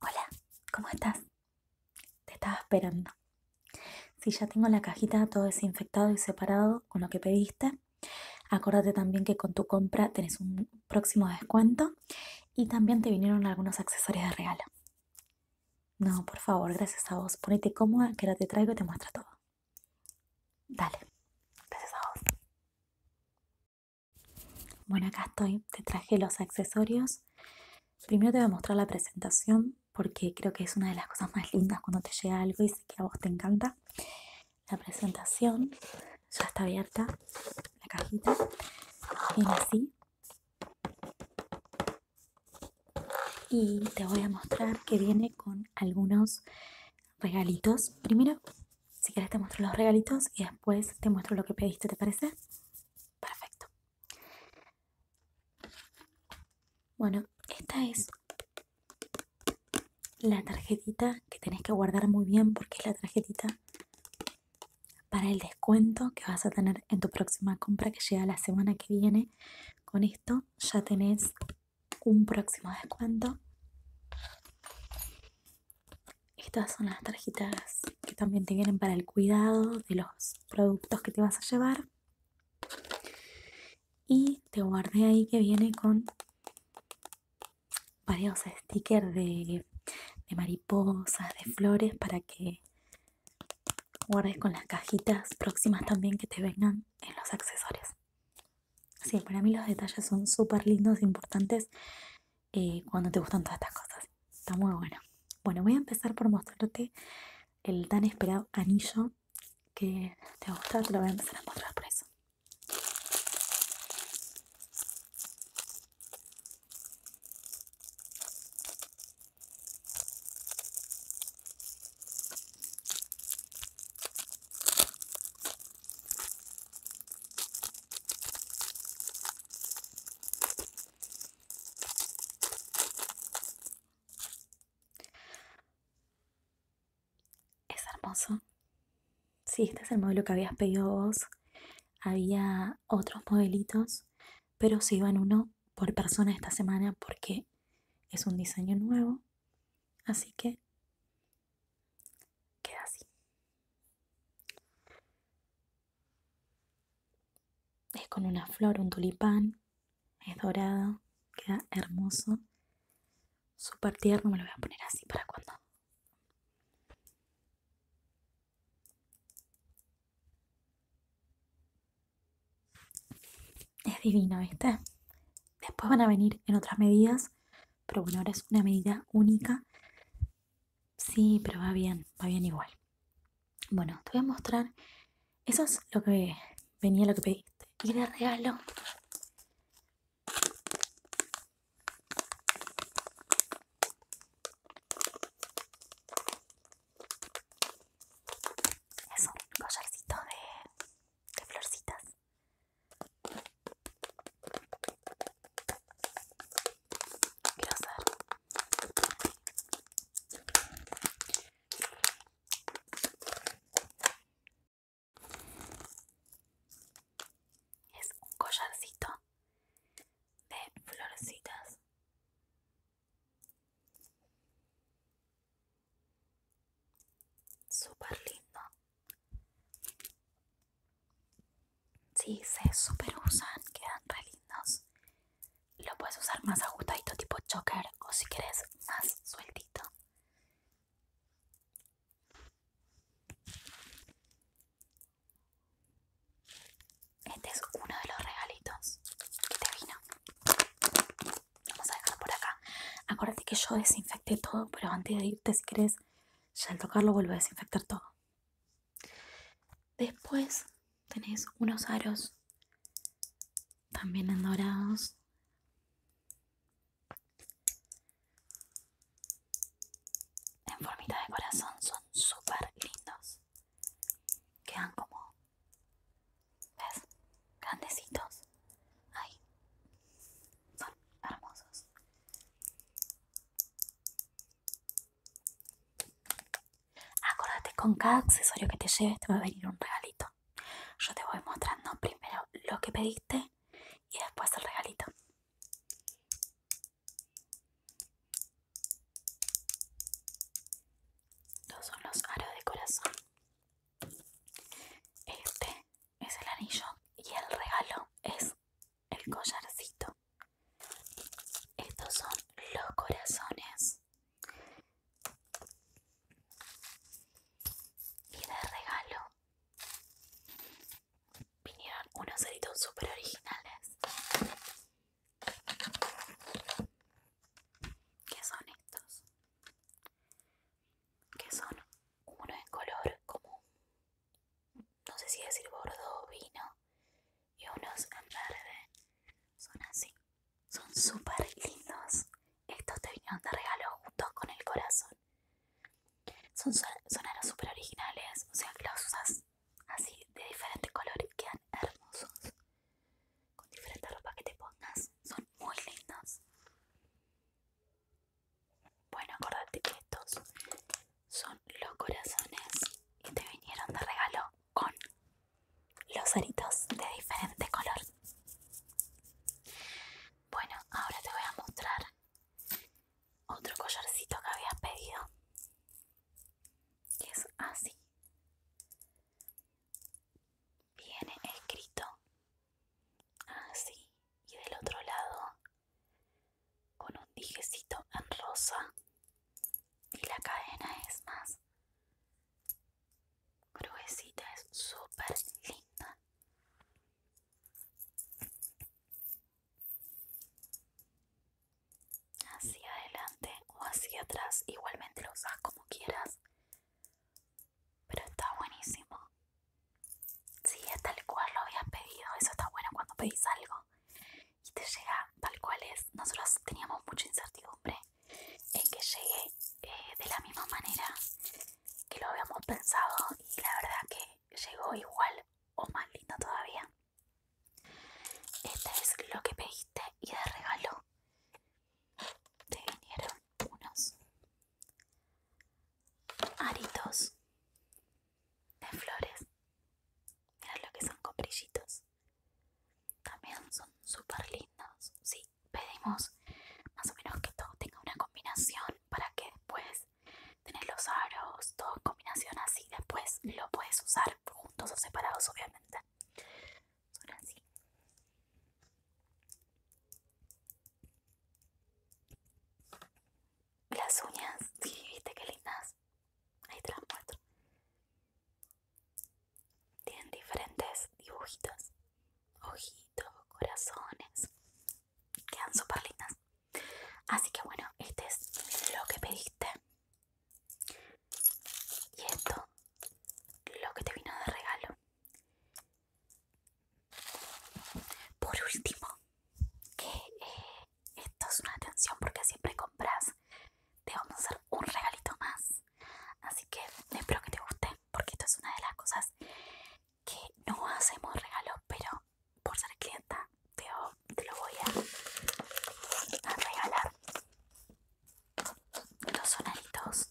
Hola, ¿cómo estás? Te estaba esperando. Si ya tengo la cajita todo desinfectado y separado con lo que pediste, Acuérdate también que con tu compra tenés un próximo descuento y también te vinieron algunos accesorios de regalo. No, por favor, gracias a vos. Ponete cómoda que ahora te traigo y te muestro todo. Dale, gracias a vos. Bueno, acá estoy, te traje los accesorios. Primero te voy a mostrar la presentación porque creo que es una de las cosas más lindas cuando te llega algo y sé que a vos te encanta. La presentación ya está abierta, la cajita viene así. Y te voy a mostrar que viene con algunos regalitos. Primero si quieres te muestro los regalitos y después te muestro lo que pediste, ¿te parece? Perfecto. Bueno, esta es la tarjetita que tenés que guardar muy bien porque es la tarjetita para el descuento que vas a tener en tu próxima compra que llega la semana que viene. Con esto ya tenés un próximo descuento estas son las tarjetas que también te vienen para el cuidado de los productos que te vas a llevar. Y te guardé ahí que viene con varios stickers de, mariposas, de flores, para que guardes con las cajitas próximas también que te vengan en los accesorios. Sí, para mí los detalles son súper lindos, e importantes eh, cuando te gustan todas estas cosas. Está muy bueno. Bueno, voy a empezar por mostrarte el tan esperado anillo que te gusta, te lo voy a empezar a mostrar por eso. Es hermoso. Sí, este es el modelo que habías pedido vos. Había otros modelitos, pero se iban uno por persona esta semana porque es un diseño nuevo. Así que Queda así. Es con una flor, un tulipán. Es dorado. Queda hermoso. Súper tierno. Me lo voy a poner así para cuando es divino, Después van a venir en otras medidas, pero bueno, ahora es una medida única Sí, pero va bien, va bien igual. Bueno, te voy a mostrar. Eso es lo que venía, lo que pediste. Y de regalo. Es un collarcito de florcitas es un collarcito de florecitas super lindo si se super usan, quedan re lindos. Lo puedes usar más ajustadito tipo choker o si quieres más sueltito. Este es uno de los regalitos que te vino. Vamos a dejar por acá. Acuérdate que yo desinfecté todo, pero antes de irte, si querés ya al tocarlo vuelve a desinfectar todo. Después tenéis unos aros también en dorados. En formita de corazón son súper lindos. Quedan como, ¿ves? Grandecitos. ahí son hermosos. Acordate, con cada accesorio que te lleves te va a venir un regalito. Yo te voy mostrando primero lo que pediste y después el regalito. Estos son los aros de corazón. Este es el anillo y el regalo es el collarcito. Estos son los corazones. Y de regalo vinieron unos ceritos super originales. ¿Qué son estos? Que son uno en color como no sé si decir bordeaux o vino, y unos en verde. Son así, son súper lindos. Estos te vinieron de regalo juntos con el corazón. Son los súper originales, o sea que los usas así de diferentes colores, quedan hermosos. Con diferentes ropas que te pongas, son muy lindos. Bueno, acordate que estos son los corazones que te vinieron de regalo con los aritos de diferente color. Bueno, ahora te voy a mostrar otro collarcito que habías pedido. Que es así. Viene escrito así y del otro lado con un dijecito en rosa y la cadena es más gruesita, es súper linda. Hacia adelante o hacia atrás, igualmente lo usas como quieras, pero está buenísimo. Sí, es tal cual lo habías pedido. Eso está bueno cuando pedís algo y te llega tal cual es. Nosotros teníamos mucha incertidumbre en que llegue eh, de la misma manera que lo habíamos pensado y la verdad que llegó igual o más lindo todavía. Este es lo que pediste y de regalo te vinieron unos aritos de flores. Mirad lo que son coprillitos También son súper lindos. Sí, pedimos más o menos que todo tenga una combinación para que después tenés los aros, todo combinación así. Después lo puedes usar juntos o separados, obviamente. Son así. Las uñas, sí, viste qué lindas. Ahí te las muestro. Tienen diferentes dibujitos, ojitos, corazones. Quedan súper lindas. Así que bueno, este es lo que pediste. Y esto, lo que te vino de regalo. Por último, que eh, esto es una atención porque siempre compras, te vamos a hacer un regalito más. Así que espero que te guste porque esto es una de las cosas que no hacemos regalos, pero por ser clienta te, lo voy a, regalar. Los sonaritos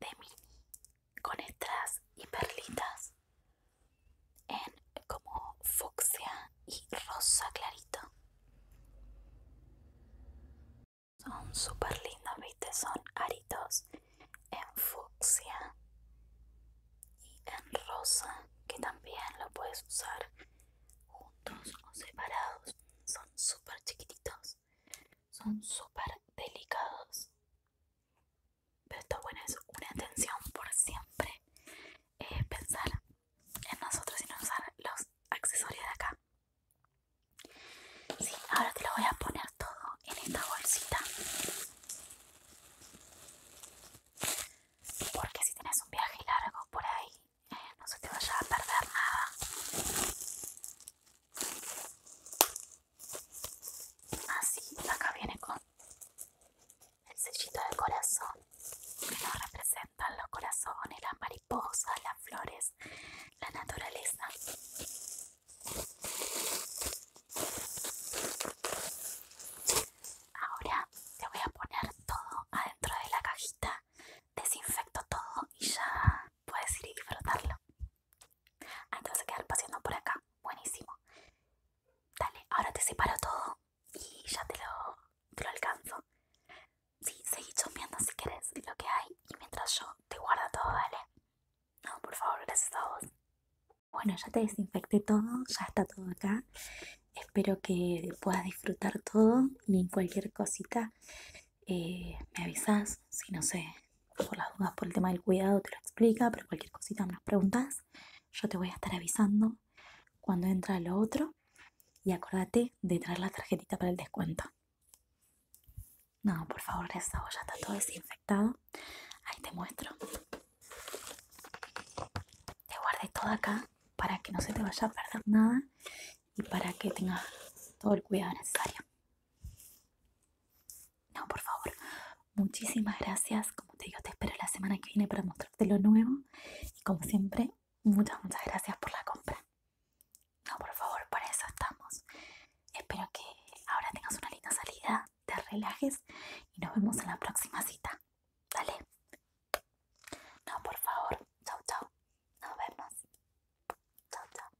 de mini con estas y perlitas en como fucsia y rosa clarito. Son super lindos, viste, son aritos en fucsia y en rosa que también lo puedes usar juntos o separados. Son super chiquititos, son super delicados pero esto bueno es una intención por siempre eh, pensar en nosotros y no usar los accesorios de acá sí, ahora te lo voy a poner todo en esta bolsita porque si tienes un viaje largo por ahí eh, no se te vaya a perder nada Así, acá viene con el sellito del corazón que nos representan los corazones, las mariposas, las flores, la naturaleza. Ahora te voy a poner todo adentro de la cajita, desinfecto todo y ya puedes ir y disfrutarlo. Ah, te vas quedar paseando por acá. Buenísimo. Dale, ahora te separo todo y ya te lo, alcanzo. Sí, seguí chompeando si querés lo que hay y mientras yo te guardo todo, dale. No, por favor, gracias a vos. Bueno, ya te desinfecté todo, ya está todo acá. Espero que puedas disfrutar todo y cualquier cosita eh, me avisas si no sé, por las dudas, por el tema del cuidado, te lo explica, pero cualquier cosita me preguntas, yo te voy a estar avisando cuando entra lo otro y acuérdate de traer la tarjetita para el descuento. No, por favor, esa a ya está todo desinfectado. Ahí te muestro. Te guardé todo acá para que no se te vaya a perder nada y para que tengas todo el cuidado necesario. No, por favor. Muchísimas gracias. Como te digo, te espero la semana que viene para mostrarte lo nuevo. Y como siempre, muchas, muchas gracias por la compra. No, por favor, para eso estamos. Espero que ahora tengas una linda salida, te relajes y nos vemos en la próxima cita. Dale. No, por favor. Chau, chau. Nos vemos. Chau, chau.